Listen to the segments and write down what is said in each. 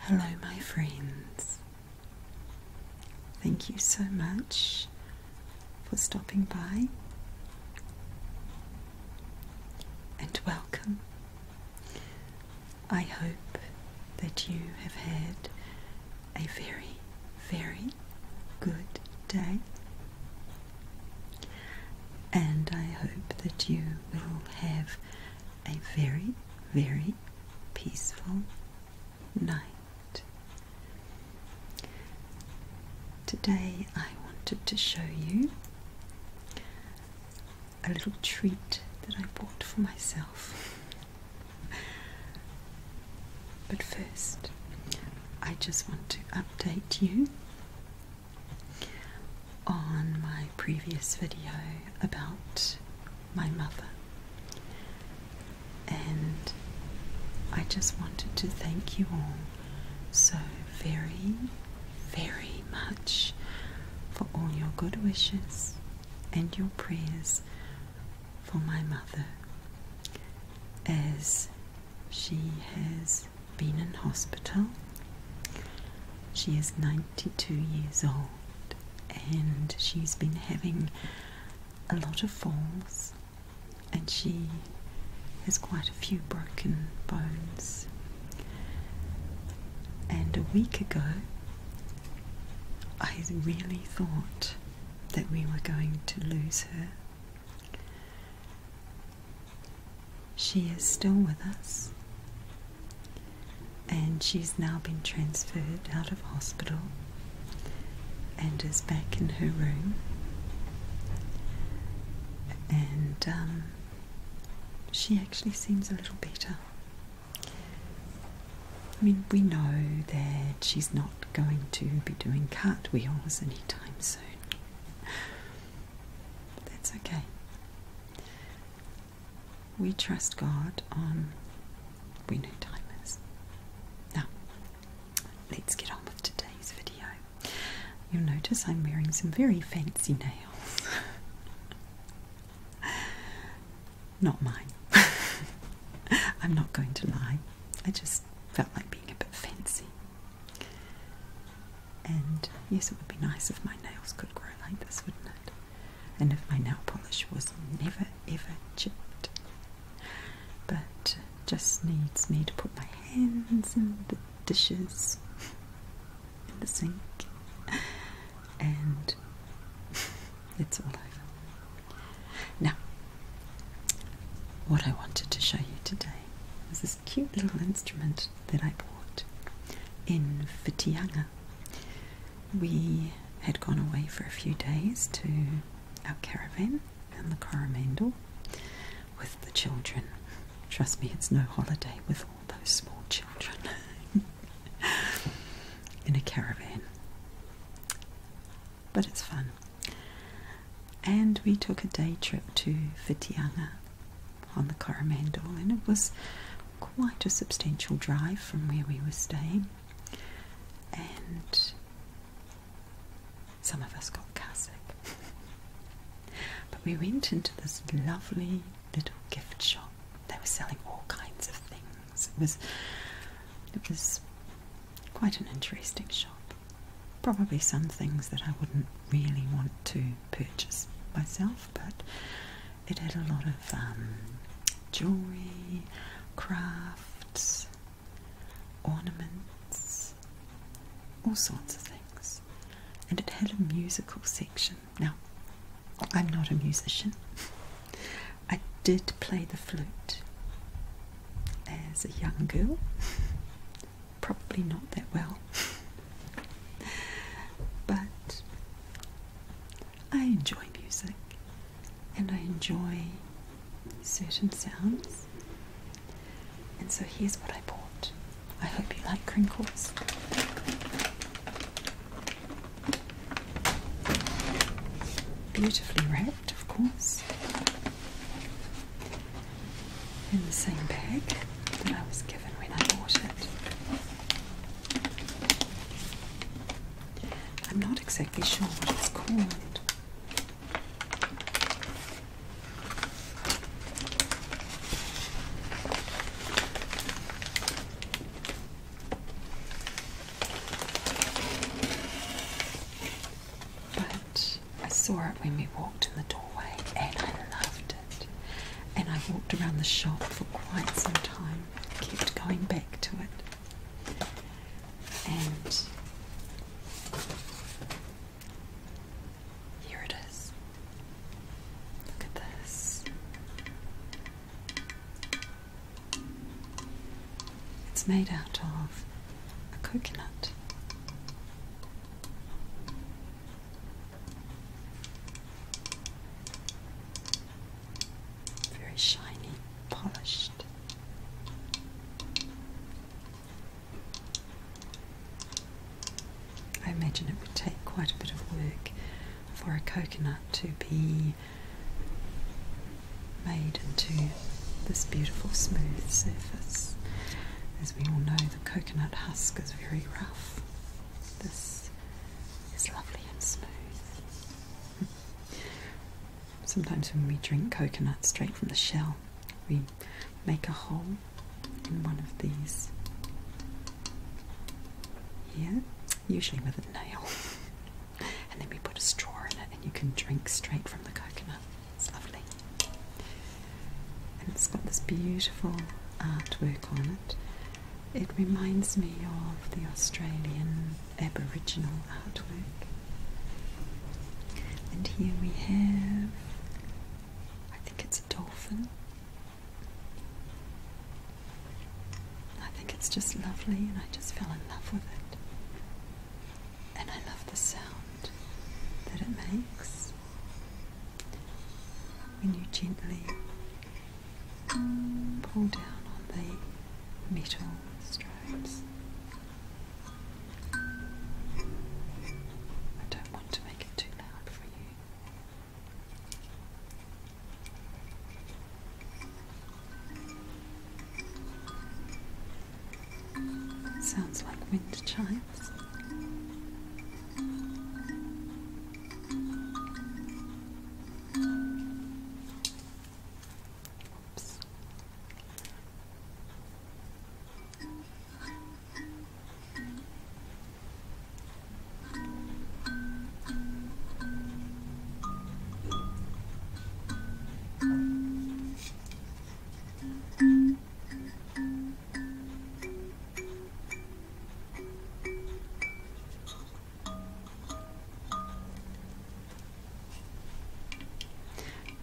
Hello, my friends. Thank you so much for stopping by and welcome. I hope that you have had a very very good day, and I hope that you will have a very, very peaceful night. Today, I wanted to show you a little treat that I bought for myself. But first, I just want to update you on my previous video about my mother, and I just wanted to thank you all so very, very much for all your good wishes and your prayers for my mother as she has been in hospital. She is 92 years old and she's been having a lot of falls and she has quite a few broken bones. And a week ago, I really thought that we were going to lose her. She is still with us, and she's now been transferred out of hospital and is back in her room. And um, she actually seems a little better. I mean, we know that she's not going to be doing cartwheels anytime soon. But that's okay. We trust God on we know timers. Now, let's get on with today's video. You'll notice I'm wearing some very fancy nails. not mine. I'm not going to lie. I just felt like being a bit fancy. And yes, it would be nice if my nails could grow like this, wouldn't it? And if my nail polish was never ever chipped. But just needs me to put my hands in the dishes, in the sink, and it's all over. Now, what I wanted to show you today was this cute little instrument that I bought in Fitianga. We had gone away for a few days to our caravan in the Coromandel with the children. Trust me, it's no holiday with all those small children in a caravan but it's fun. And we took a day trip to Fitianga on the Coromandel, and it was quite a substantial drive from where we were staying. And some of us got carsick. but we went into this lovely little gift shop. They were selling all kinds of things it was, it was quite an interesting shop. Probably some things that I wouldn't really want to purchase myself, but it had a lot of um, jewelry, crafts, ornaments, all sorts of things. And it had a musical section now, I'm not a musician. I did play the flute as a young girl, probably not that well, but I enjoy music and I enjoy certain sounds. And so here's what I bought. I hope you like crinkles. Beautifully wrapped, of course, in the same bag that I was given when I bought it. I'm not exactly sure what it's called. But I saw it when we walked in the doorway and I loved it. And I walked around the shop for quite some time, kept going back to it. And here it is. Look at this. It's made out of a coconut. Very shiny, polished. I imagine it would take quite a bit of work for a coconut to be made into this beautiful smooth surface. As we all know, the coconut husk is very rough. This is lovely and smooth. Sometimes when we drink coconut straight from the shell, we make a hole in one of these yeah, usually with a nail. and then we put a straw in it and you can drink straight from the coconut. It's lovely. And it's got this beautiful artwork on it. It reminds me of the Australian Aboriginal artwork. And here we have, I think it's a dolphin. I think it's just lovely, and I just fell in love with it. And I love the sound that it makes when you gently pull down on the metal stripes. I don't want to make it too loud for you. Sounds like wind chimes. Oops.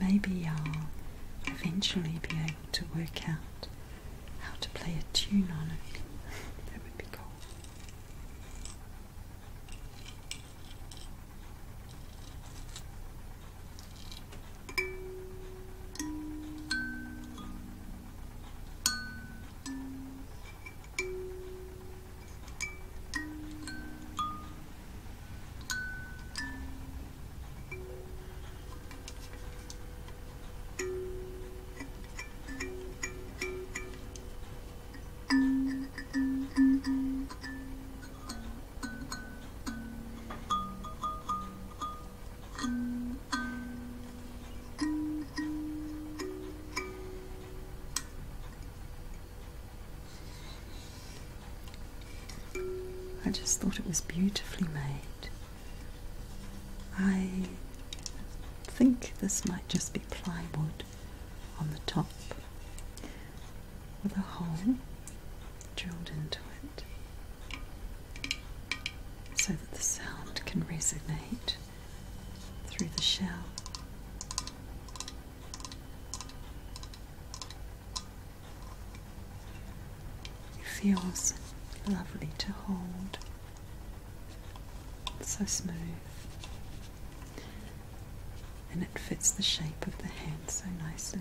Maybe I'll eventually be able to work out how to play a tune on it. that would be cool. I just thought it was beautifully made. I think this might just be plywood on the top with a hole drilled into it so that the sound can resonate through the shell. It feels lovely to hold. so smooth. And it fits the shape of the hand so nicely.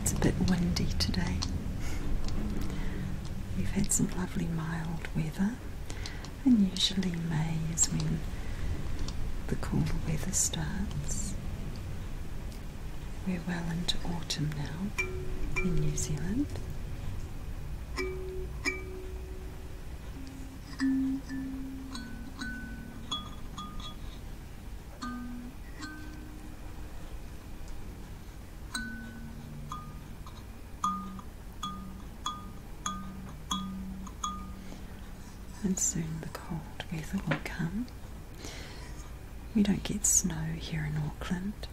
It's a bit windy today. We've had some lovely mild weather, and usually May is when the cooler weather starts. We're well into autumn now in New Zealand, and soon the cold weather will come. We don't get snow here in Auckland.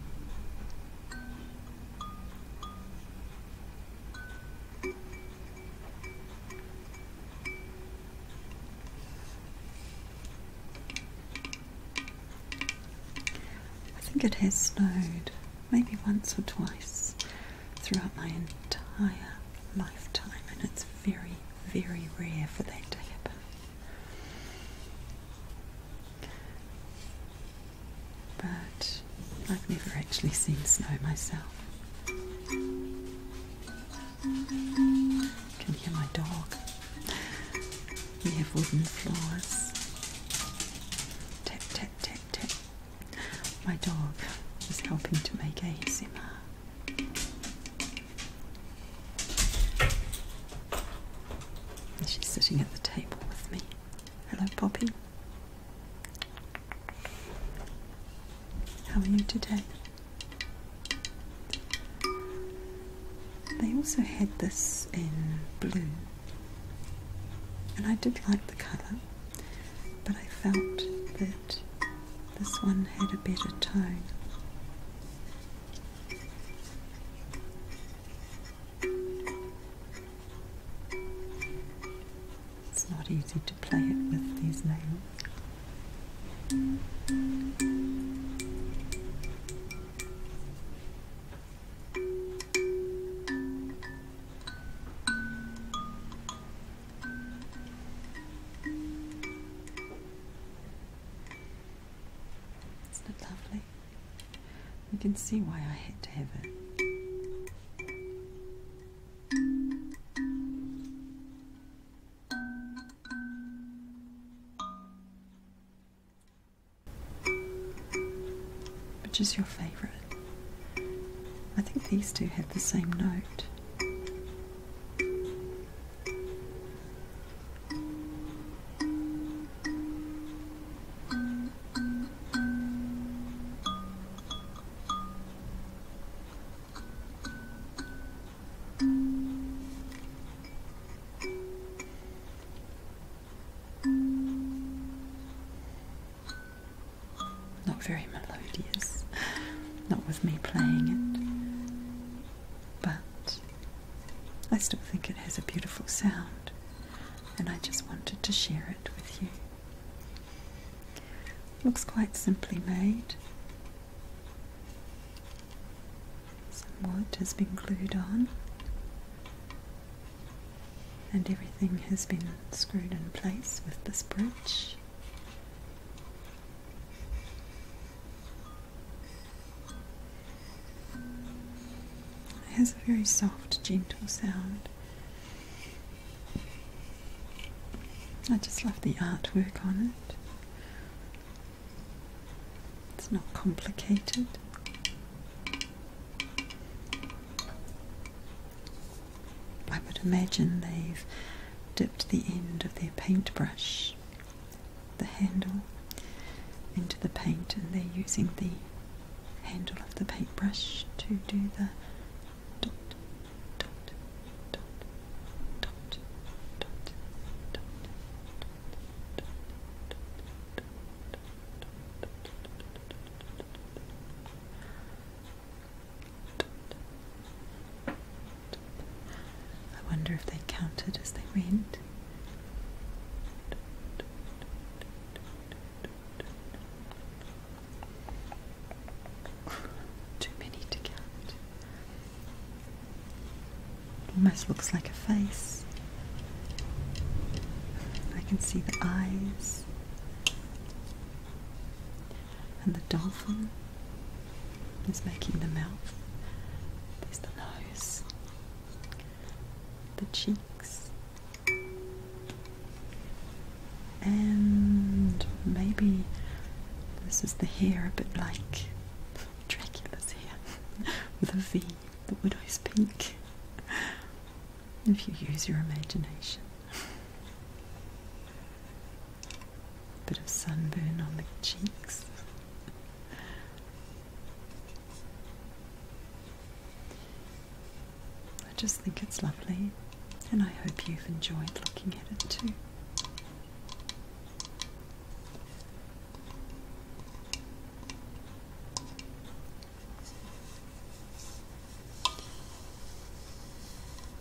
I think it has snowed maybe once or twice throughout my entire lifetime, and it's very, very rare for that to happen. But I've never actually seen snow myself. Can hear my dog. We have wooden floors. Tap, tap, tap, tap. My dog is helping to make a zimmer. She's sitting at the table with me. Hello, Poppy. How are you today? They also had this in blue, and I did like the colour, but I felt that this one had a better tone. It's not easy to play it with these nails. Isn't it lovely? You can see why I had to have it. Which is your favourite? I think these two have the same note. Not very melodious, not with me playing it, but I still think it has a beautiful sound, and I just wanted to share it with you. Looks quite simply made. Some wood has been glued on, and everything has been screwed in place with this bridge. It has a very soft, gentle sound. I just love the artwork on it. It's not complicated. I would imagine they've dipped the end of their paintbrush the handle into the paint and they're using the handle of the paintbrush to do the dot dot dot dot dot dot dot dot dot dot dot dot I wonder if they counted as they went. Too many to count. Almost looks like a face. I can see the eyes and the dolphin is making the mouth. There's the nose, the cheeks, and maybe this is the hair a bit like Dracula's hair with a V, would I speak If you use your imagination. Bit of sunburn on the cheeks. I just think it's lovely, and I hope you've enjoyed looking at it too.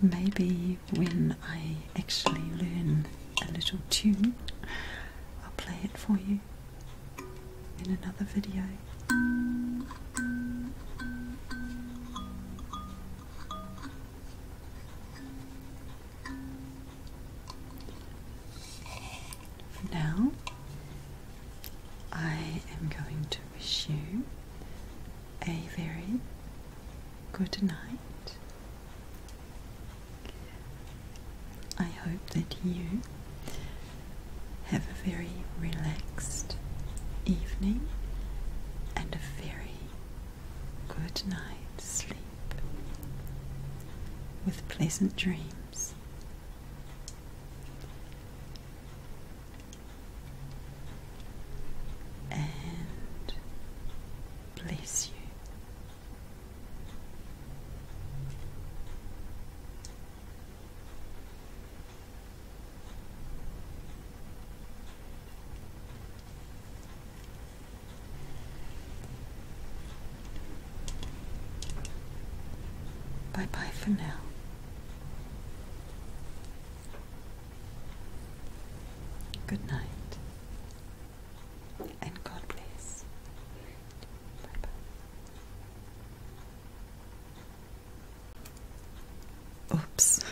Maybe when I actually learn a little tune, I'll play it for you in another video. now, I am going to wish you a very good night I hope that you have a very relaxed evening and a very good night's sleep with pleasant dreams. And bless you. Bye bye for now. Good night. And God bless. Bye bye. Oops.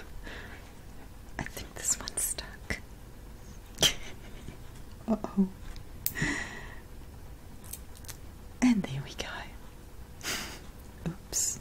I think this one's stuck. uh oh. And there we go. Oops.